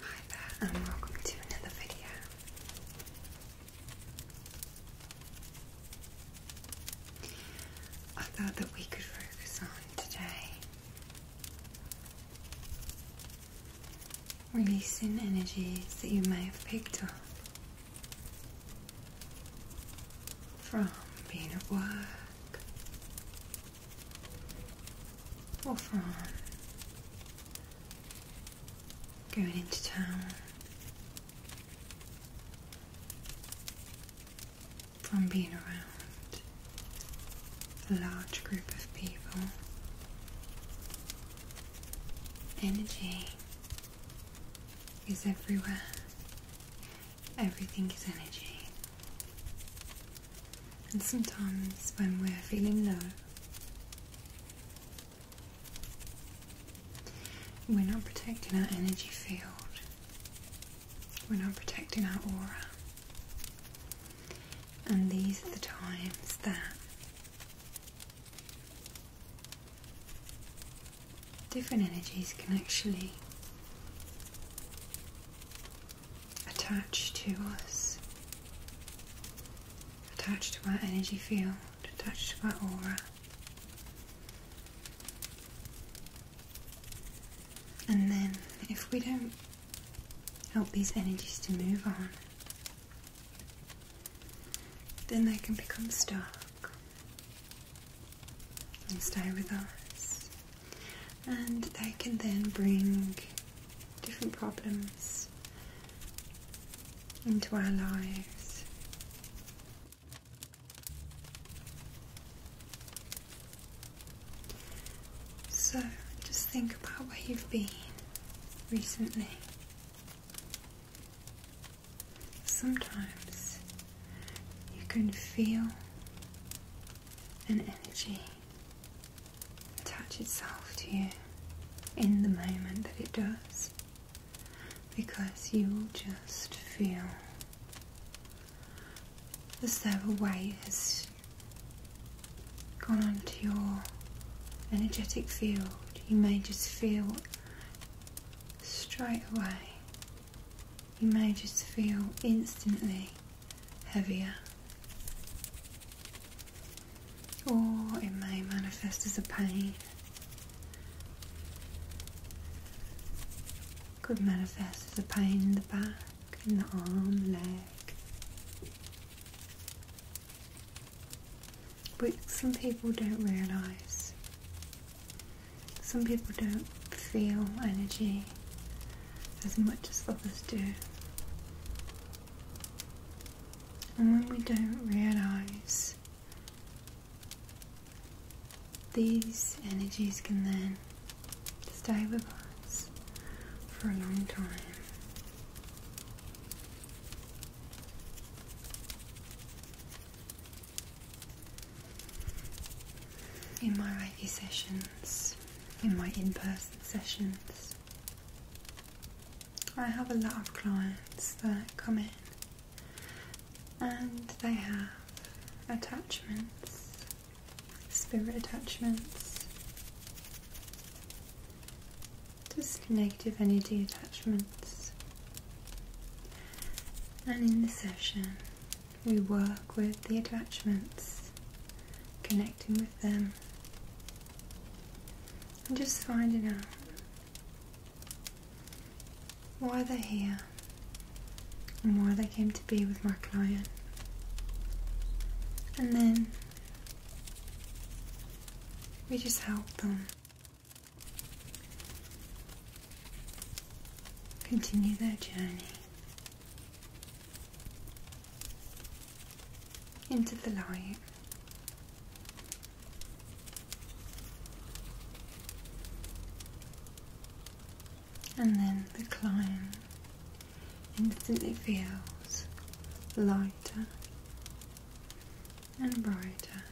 Hi there and welcome to another video. I thought that we could focus on today releasing energies that you may have picked up from being at work or from going into town, from being around a large group of people. Energy is everywhere everything is energy. And sometimes when we're feeling low, we're not protecting our energy field, we're not protecting our aura. And these are the times that different energies can actually attach to us, attach to our energy field, attach to our aura. And then, if we don't help these energies to move on, then they can become stuck and stay with us. And they can then bring different problems into our lives. So just think about where you've been recently sometimes you can feel an energy attach itself to you in the moment that it does because you just feel as though a weight has gone onto your energetic field. You may just feel straight away you may just feel instantly heavier. Or it may manifest as a pain. Could manifest as a pain in the back, in the arm, leg. But some people don't realise some people don't feel energy as much as others do. And when we don't realise, these energies can then stay with us for a long time in my Reiki sessions, in my in person sessions, I have a lot of clients that come in and they have attachments, spirit attachments, just negative energy attachments. And in the session, we work with the attachments, connecting with them, and just finding out why they're here and why they came to be with my client. And then we just help them. Continue their journey into the light. And then the client instantly feels lighter and brighter.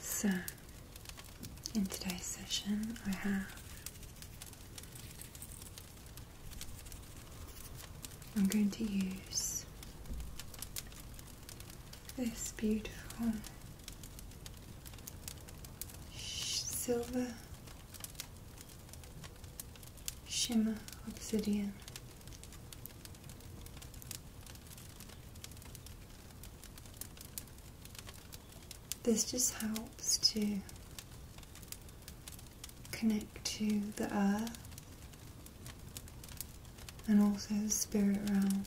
So, in today's session, I have. I'm going to use this beautiful silver Shimmer Obsidian. This just helps to connect to the earth and also the spirit realm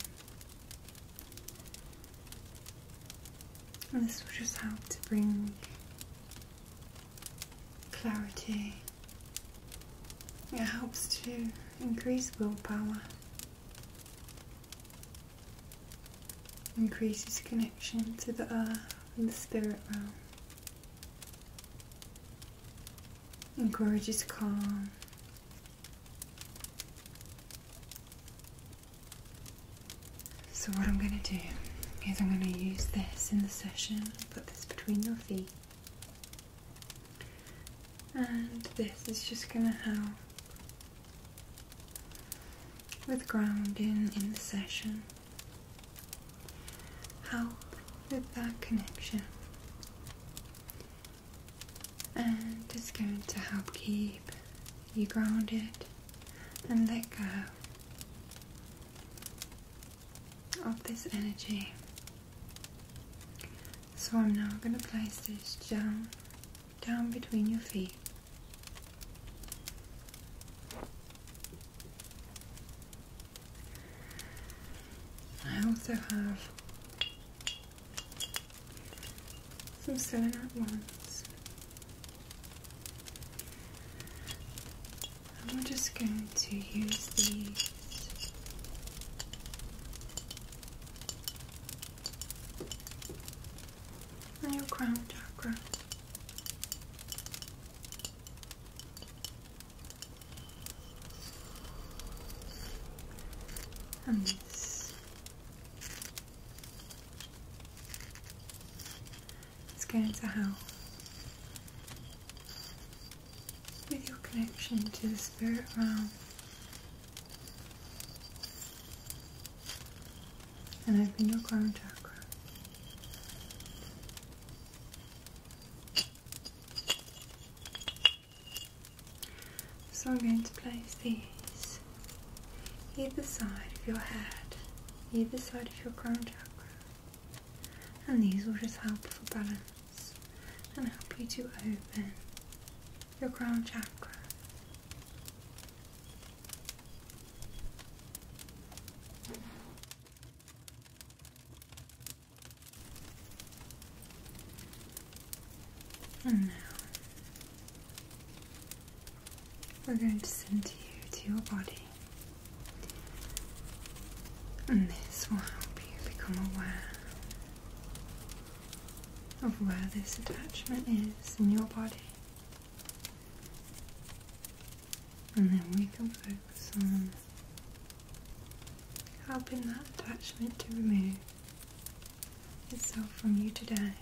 this will just help to bring clarity. It helps to increase willpower, increases connection to the earth and the spirit realm, encourages calm. So what I'm going to do is I'm going to use this in the session, put this between your feet. And this is just going to help with grounding in the session. Help with that connection. And it's going to help keep you grounded and let go of this energy. So I'm now going to place this down, down between your feet. I also have some selenite ones. And we're just going to use these on your crown chakra. And this it's going to help With your connection to the spirit realm. And open your crown chakra. So I'm going to place these either side of your head, either side of your crown chakra. And these will just help for balance and help you to open your crown chakra. And now we're going to send you to your body. And this will help you become aware of where this attachment is in your body. And then we can focus on helping that attachment to remove itself from you today.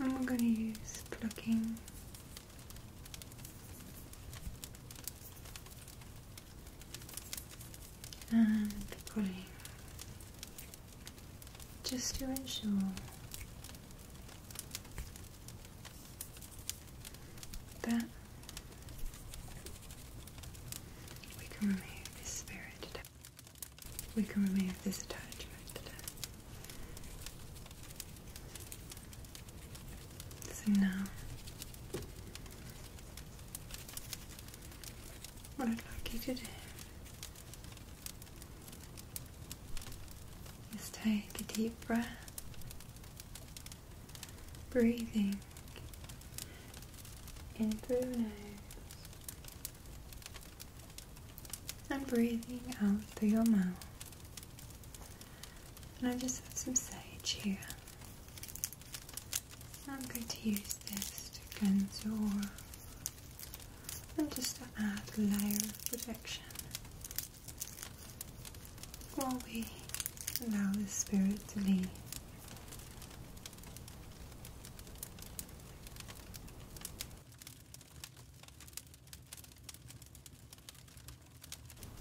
I'm going to use plucking and pulling just to ensure that we can remove this spirit we can remove this attachment. So now, what I'd like you to do is take a deep breath, breathing in through the nose and breathing out through your mouth. And I just have some sage here. I'm going to use this to cleanse your aura and just to add a layer of protection while we allow the spirit to leave.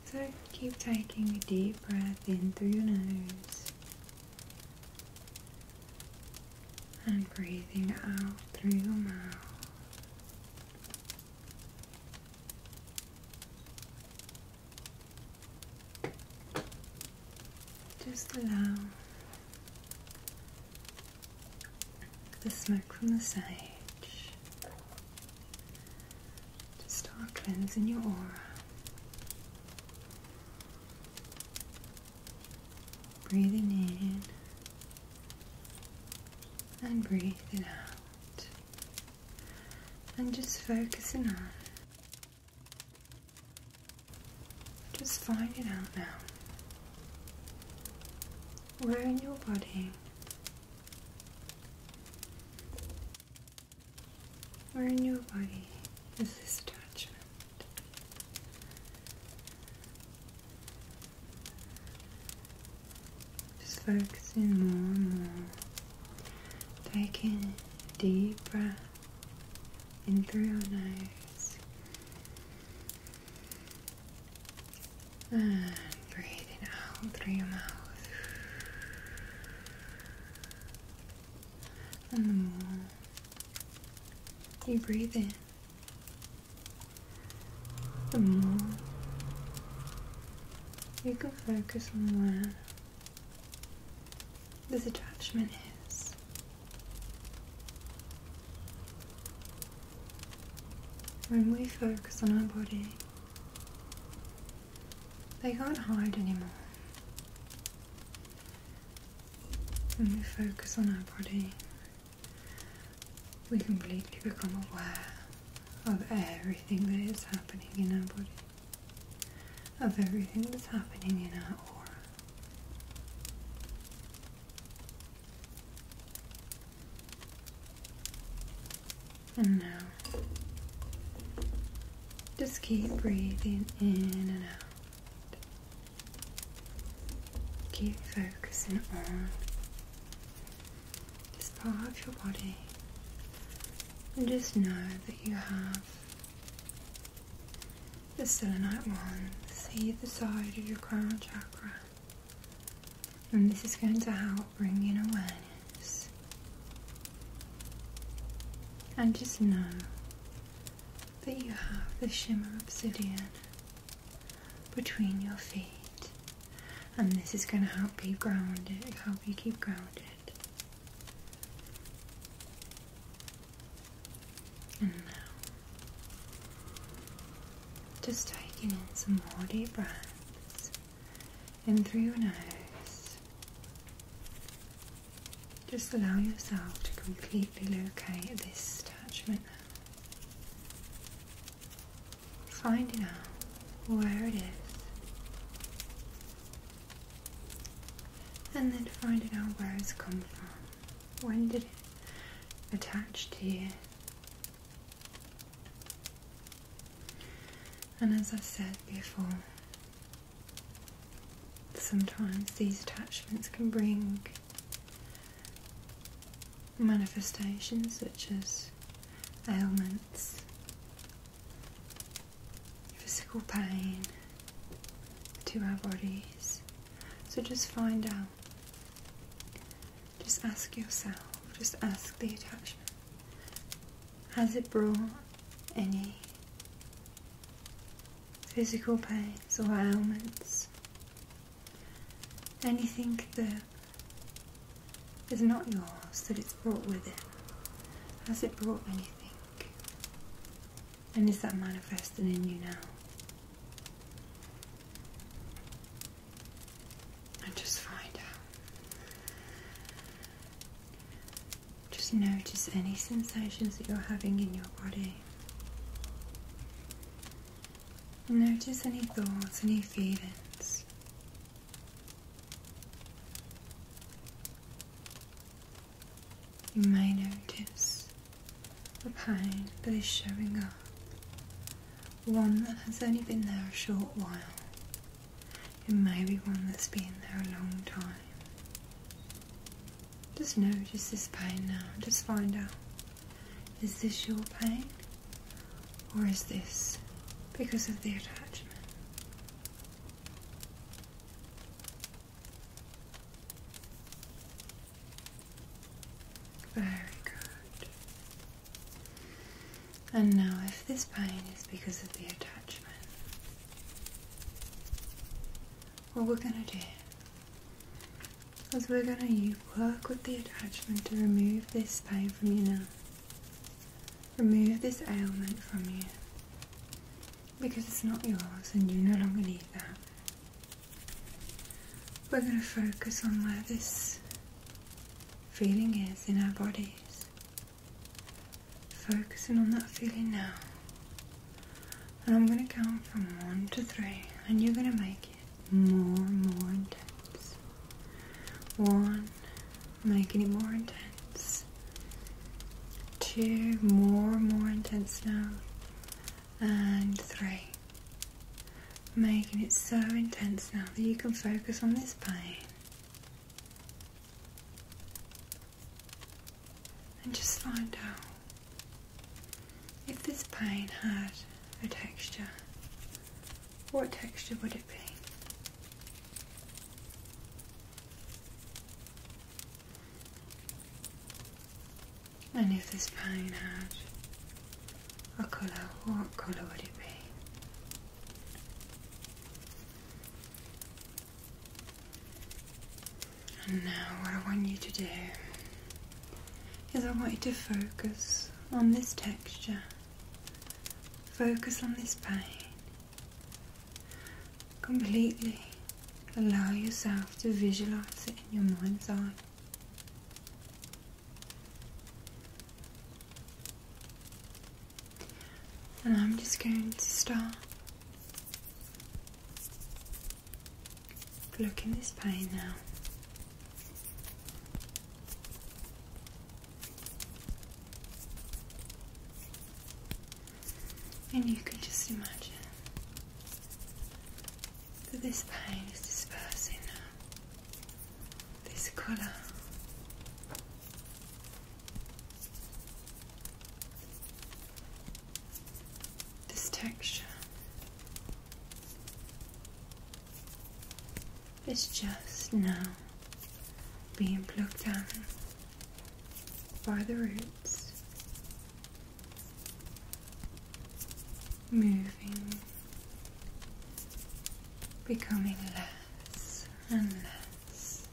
So keep taking a deep breath in through your nose and breathing out through your mouth. Just allow the smoke from the sage to start cleansing your aura. Breathing in and breathing out, and just focusing on. Just find it out now. Where in your body? Where in your body is this attachment? Just focusing more and more. Taking deep breath in through your nose and breathing out through your mouth. And the more you breathe in, the more you can focus on where this attachment is. When we focus on our body, they can't hide anymore. When we focus on our body, we completely become aware of everything that is happening in our body, of everything that's happening in our aura. And now, just keep breathing in and out. Keep focusing on this part of your body. And just know that you have the selenite wand, see the side of your crown chakra. And this is going to help bring in awareness. And just know that you have the shimmer obsidian between your feet. And this is going to help you ground it, help you keep grounded. And now just taking in some more deep breaths in through your nose. Just allow yourself to completely locate this attachment now. Finding out where it is. And then finding out where it's come from. When did it attach to you? And as i said before, sometimes these attachments can bring manifestations such as ailments, physical pain to our bodies, so just find out. Just ask yourself, just ask the attachment. Has it brought any physical pains or ailments? Anything that is not yours that it's brought with it? Has it brought anything? And is that manifesting in you now? and just find out. Just notice any sensations that you're having in your body. Notice any thoughts, any feelings. You may notice a pain that is showing up one that has only been there a short while. It may be one that's been there a long time. Just notice this pain now. Just find out is this your pain or is this because of the attachment? Very good. And now, if this pain is because of the attachment, what we're going to do is we're going to work with the attachment to remove this pain from you now. Remove this ailment from you because it's not yours and you no longer need that. We're going to focus on where this feeling is in our bodies. Focusing on that feeling now. And I'm going to count from one to three, and you're going to make it more and more intense. One, make it more intense. Two, more and more intense now and three. Making it so intense now that you can focus on this pain. And just slide down. If this pain had a texture, what texture would it be? And if this pine had a colour, what colour would it be? And now, what I want you to do is I want you to focus on this texture, focus on this pain, completely allow yourself to visualize it in your mind's eye. And I'm just going to start looking this pain now. And you can just imagine that this pain is dispersing now this color. This texture is just now being plucked out by the roots moving, becoming less and less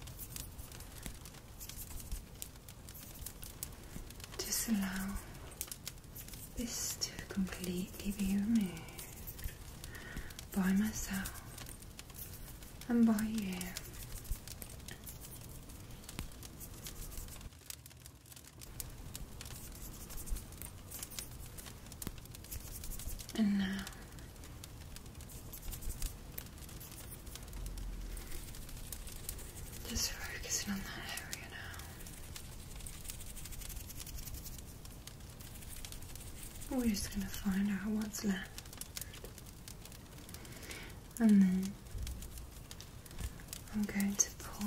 just allow this to completely be removed by myself and by you and now uh, just focusing on that area now. We're just going to find out what's left. And then I'm going to pull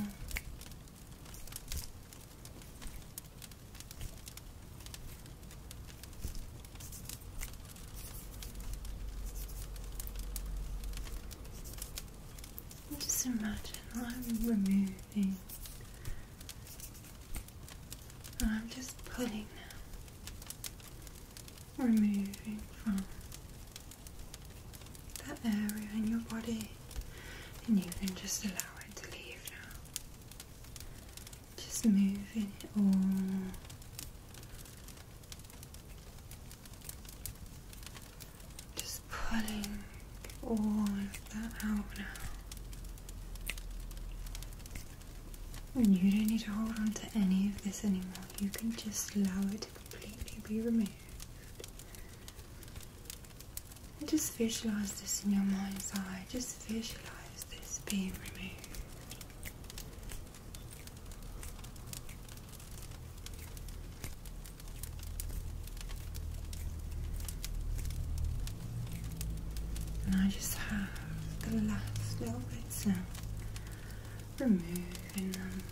just imagine I'm removing, I'm just putting now, removing from that area in your body, and you can just allow it to leave now. Just moving it all just pulling all of that out now. And you don't need to hold on to any of this anymore. You can just allow it to completely be removed just visualize this in your mind's eye. Just visualize this being removed. And I just have the last little bits now. Removing them.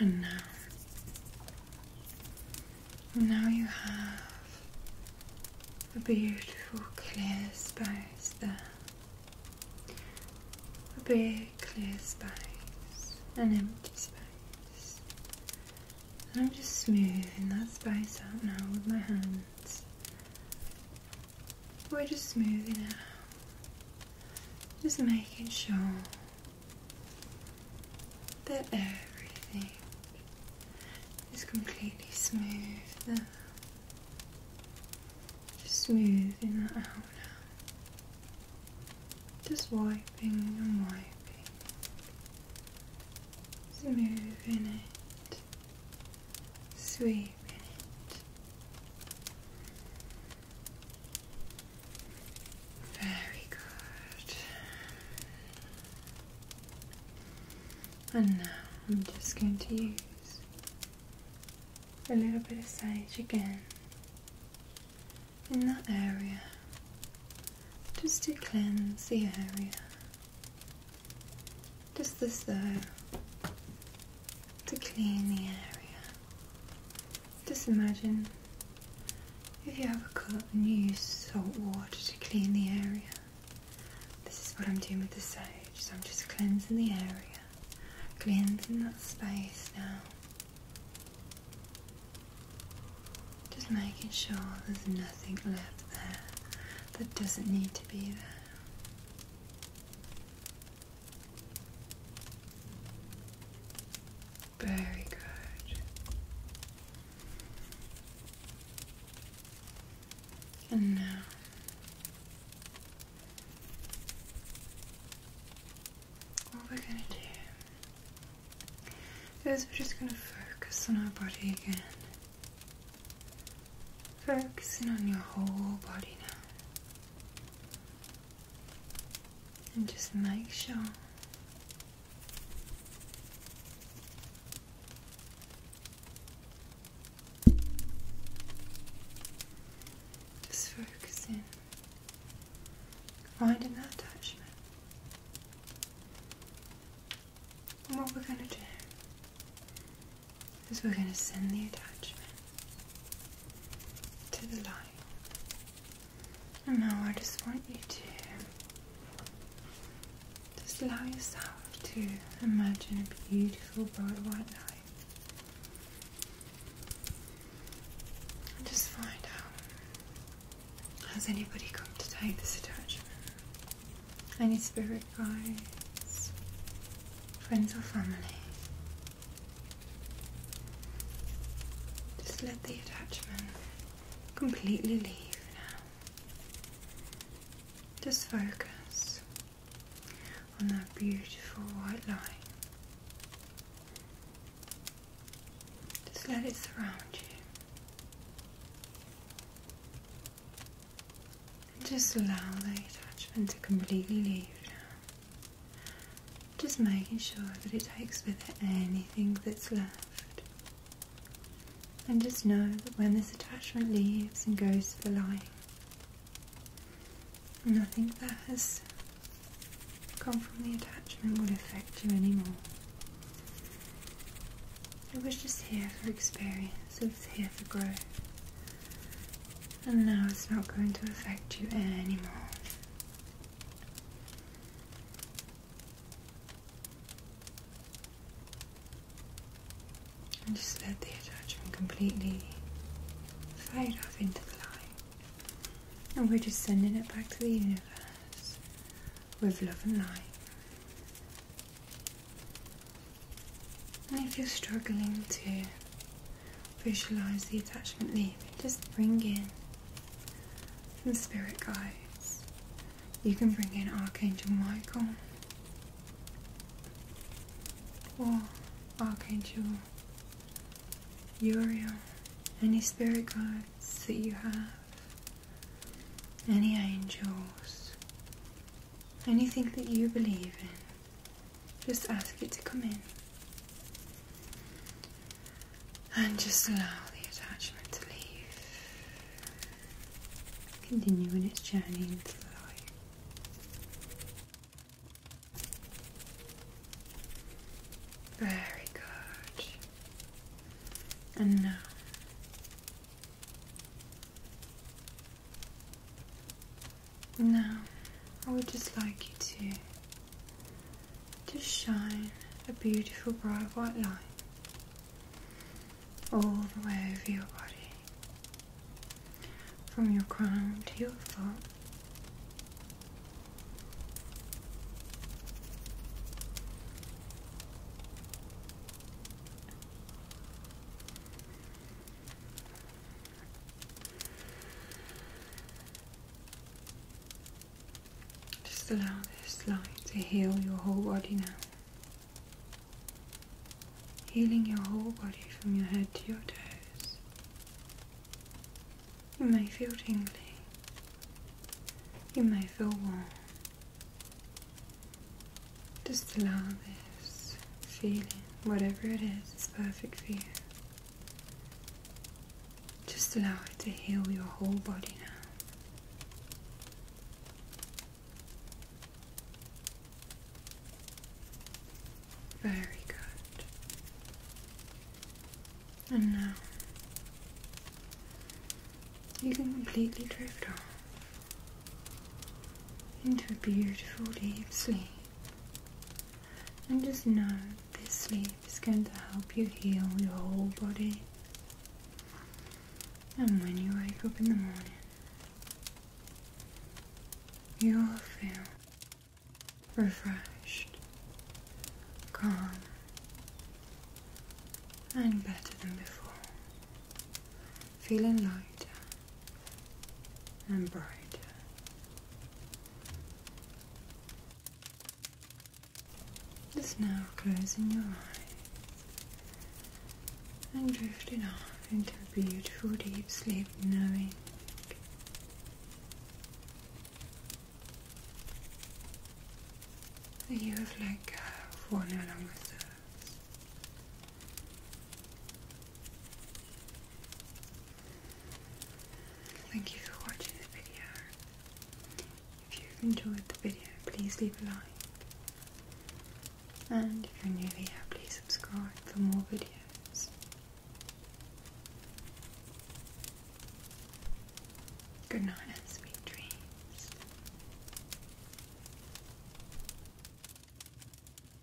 And now, now you have a beautiful clear space there. A big clear space, an empty space. And I'm just smoothing that space out now with my hands. We're just smoothing it out. Just making sure that everything is completely smooth now. Just smoothing that out now. Just wiping and wiping. Smoothing it Sweet. very good and now I'm just going to use a little bit of sage again in that area just to cleanse the area just this though, to clean the area. Just imagine if you have a cut and use salt water to clean the area. This is what I'm doing with the sage, so I'm just cleansing the area, cleansing that space now. Just making sure there's nothing left there that doesn't need to be there. Very good. And now what we're going to do is we're just going to focus on our body again. Focusing on your whole body now. And just make sure just focusing, finding that attachment. And what we're going to do is we're going to send the attachment to the line. And now I just want you to just allow yourself to imagine a beautiful bright white light. just find out has anybody come to take this attachment? any spirit guides, friends or family. Just let the attachment completely leave now. Just focus on that beautiful white light. Just let it surround you. And just allow the attachment to completely leave Just making sure that it takes with it anything that's left. And just know that when this attachment leaves and goes to the light, nothing that has come from the attachment will affect you anymore. It was just here for experience, it was here for growth. And now it's not going to affect you anymore. And just let the attachment completely fade off into the light. And we're just sending it back to the universe with love and light. And if you're struggling to visualize the attachment leaving, just bring in the spirit guides. You can bring in Archangel Michael or Archangel Uriel, any spirit guides that you have, any angels, Anything that you believe in, just ask it to come in. And just allow the attachment to leave. Continuing its journey into the light. Very good. And now now, I would just like you to just shine a beautiful bright white light all the way over your body, from your crown to your foot. Just allow this light to heal your whole body now. Healing your whole body from your head to your toes. You may feel tingly. You may feel warm. Just allow this feeling, whatever it is, it's perfect for you. Just allow it to heal your whole body now. Very good. And now you can completely drift off into a beautiful deep sleep. And just know this sleep is going to help you heal your whole body. And when you wake up in the morning, you will feel refreshed, calm, and better than before, feeling lighter and bright. Just now closing your eyes and drifting off into a beautiful deep sleep, knowing that you have let go of what no Thank you for watching the video. If you've enjoyed the video, please leave a like. And if you're new here, please subscribe for more videos. Good night and sweet dreams.